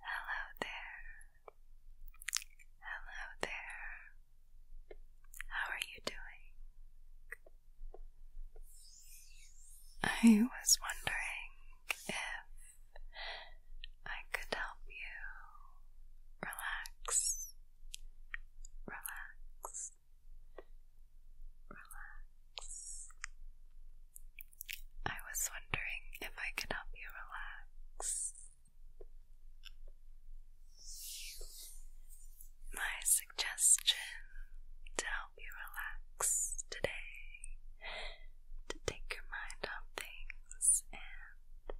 Hello there. Hello there. How are you doing? I was wondering if I could help you relax, relax, relax, I was wondering if I could help you relax. My suggestion to help you relax today, to take your mind off things and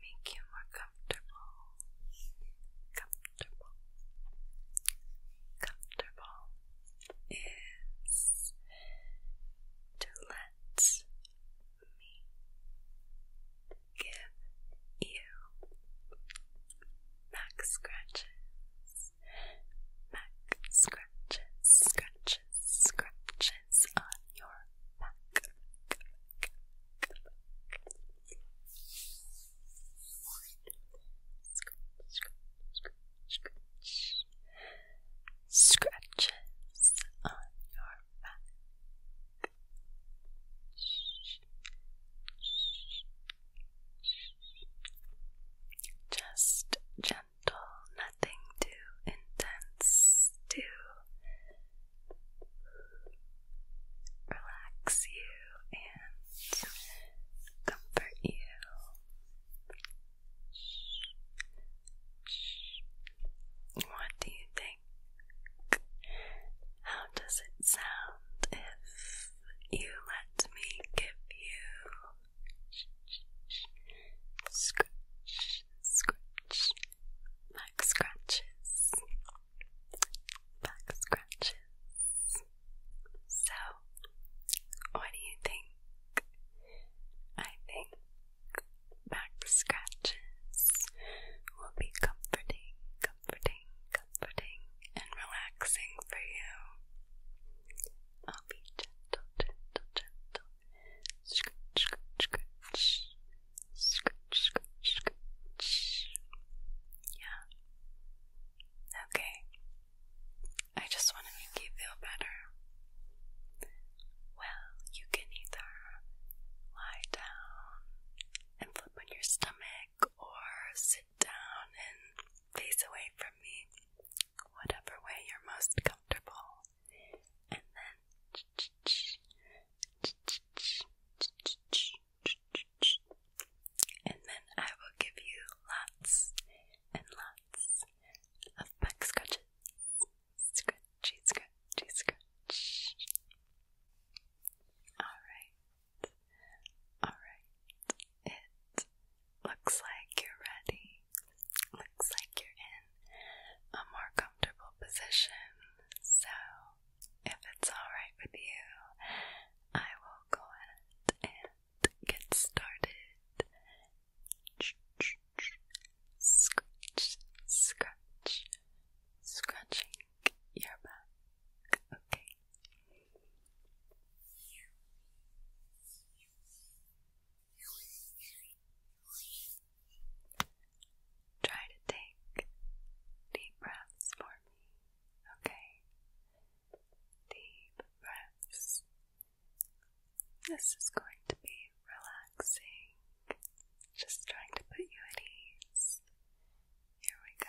make you more comfortable, comfortable, comfortable is to let me give you back scratches, back scratches, scratches, scratches on your back scratches on your back. Just gentle, nothing too intense to relax you and comfort you. What do you think? How does it sound if you let me give you scratch, scratch, back scratches, back scratches? So, what do you think? I think back scratches will be comforting, comforting, comforting, and relaxing for you. I'll be gentle, gentle, gentle. Scratch, scratch, scratch. Scratch, scratch, scratch. Yeah. Okay. I just want to make you feel better. Well, you can either lie down and flip on your stomach or sit down and face away from me, whatever way you're most comfortable. And then and then I will give you lots and lots of back scratches. Scratchy, scratchy, scratch. Alright, alright. It looks like you're ready. Looks like you're in a more comfortable position. So, if it's alright with you, I will go ahead and get started. Scratch, scratch, scratching your back. Okay. Try to take deep breaths for me, okay? deep breaths. This is going to be relaxing, just trying to put you at ease. Here we go.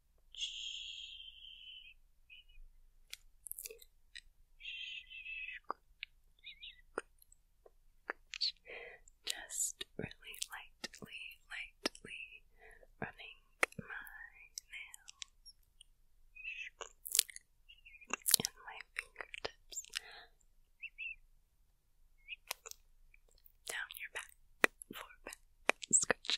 Just really lightly, lightly running my nails and my fingertips down your back for back scratches.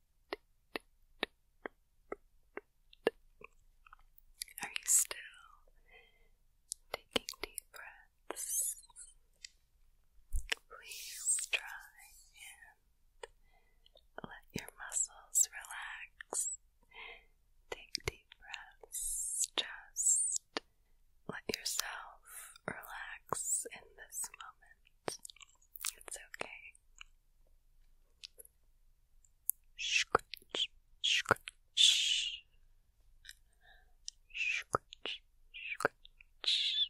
Are you still taking deep breaths? Please try and let your muscles relax. Take deep breaths. Just let yourself relax in this moment. It's okay. Scratch, scratch, scratch, scratch. Scratch,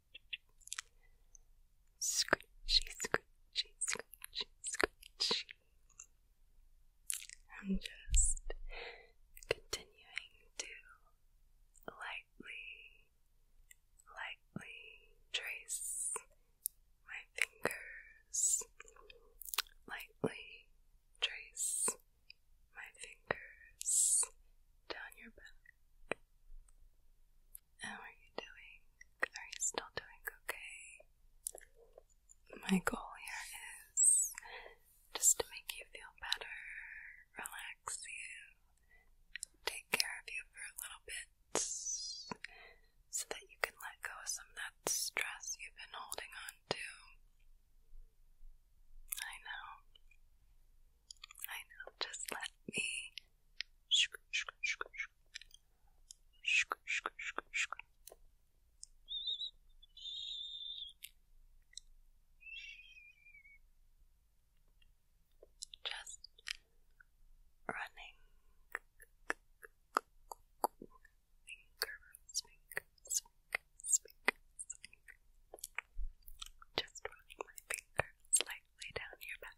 Scratchy, scratchy, scratchy, scratchy. I'm just continuing to lightly, lightly trace my fingers, lightly trace my fingers down your back. How are you doing? Are you still doing okay? My goal here is just to make you feel better, relax you, take care of you for a little bit so that you can let go some of that stress you've been holding on to. I know. I know, just let me. Just running speak, speak. Just running my finger slightly down your back.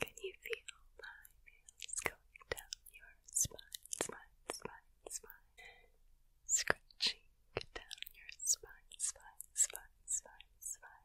Can you feel my nails going down your spine, spine, spine, spine? Scratching down your spine, spine, spine, spine, spine.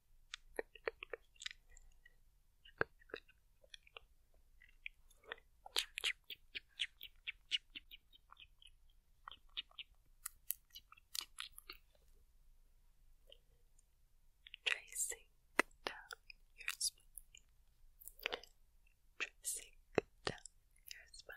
Tracing down your spine. Tracing down your spine.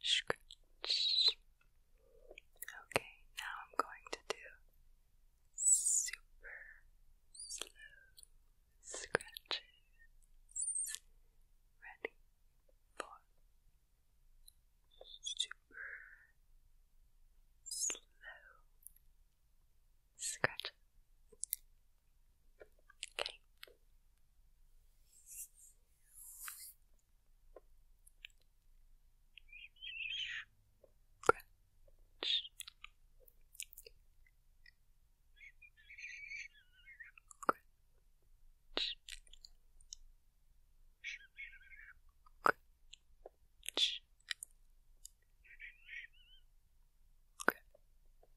scratch. Okay, now I'm going to do super slow scratches. Ready for super slow scratch. Okay. Scratch. Scratch. Scratch. Scratch.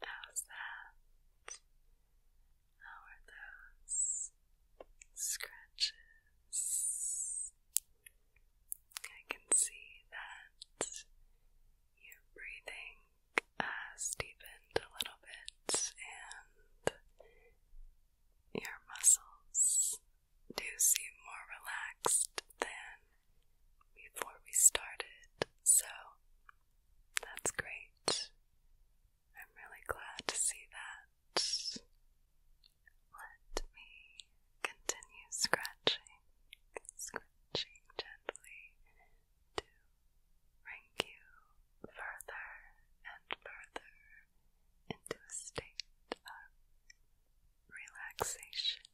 How's that? How are those scratches? I can see that your breathing has uh, deepened a little bit and your muscles do seem more relaxed than before we started, so that's great. I'm really glad to see that. Let me continue scratching, scratching gently to bring you further and further into a state of relaxation.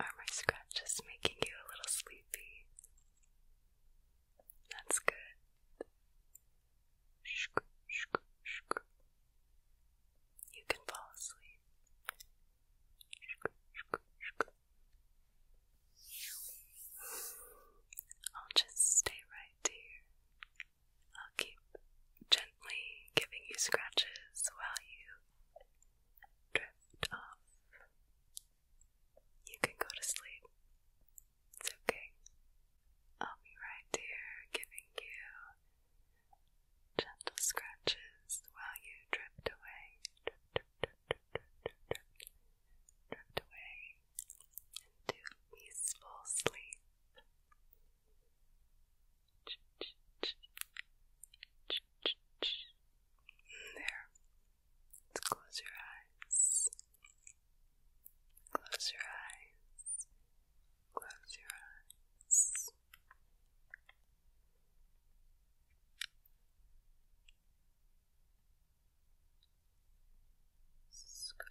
Are my scratches making you a little sleepy? That's good. Shk, shk, shk. You can fall asleep. Shk, shk, shk. I'll just stay right here. I'll keep gently giving you scratches while you drift off. You can go to sleep. It's okay. I'll be right here giving you gentle scratches while you drift away. Drift, away into peaceful sleep. There. Let's close your eyes. Close your eyes. Close your eyes. This is good.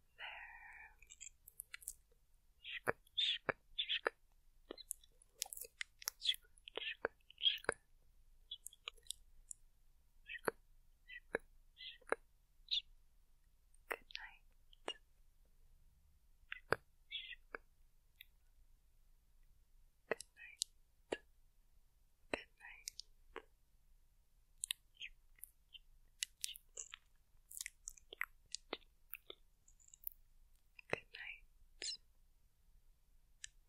Scratch, scratch, scratch. Scratch, scratch, scratch. Scratch, scratch, scratch. Good night. Scratch, scratch. Good night. Good night. Good night.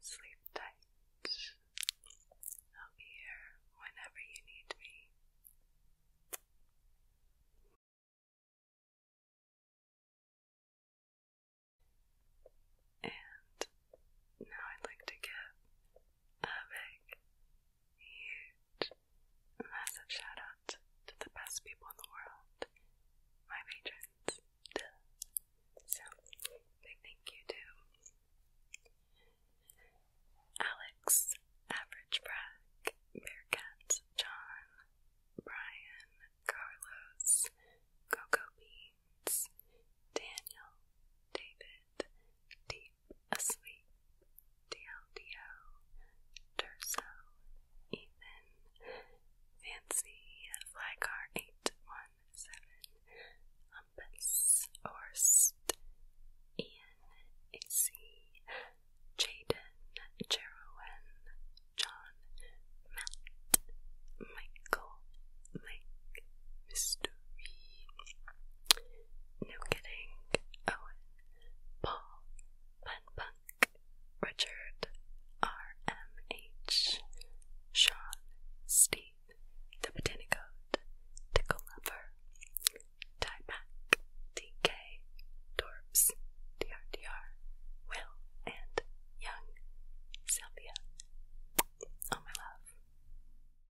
Sleep tight. I'll be here whenever you need me. And now I'd like to give a big, huge, massive shout out to the best people in the world, my patrons. So, big thank you to Alex, Average Brack, Bearcat, John, Brian, Carlos, Coco Beans, Daniel, David, D asleep, DLDO, Terso, Ethan, Fancy, Flycar 817, Umpus, Orst, Ian, AC, Jaden, Jeroen, John, Matt, Michael, Mike, Mystery, no Kidding, Owen, Paul, Pun Punk, Richard, RMH, Sean, Steve, The Botanicode, Tickle DK, Torps, DRDR, Will, and Young, Sylvia. All my love.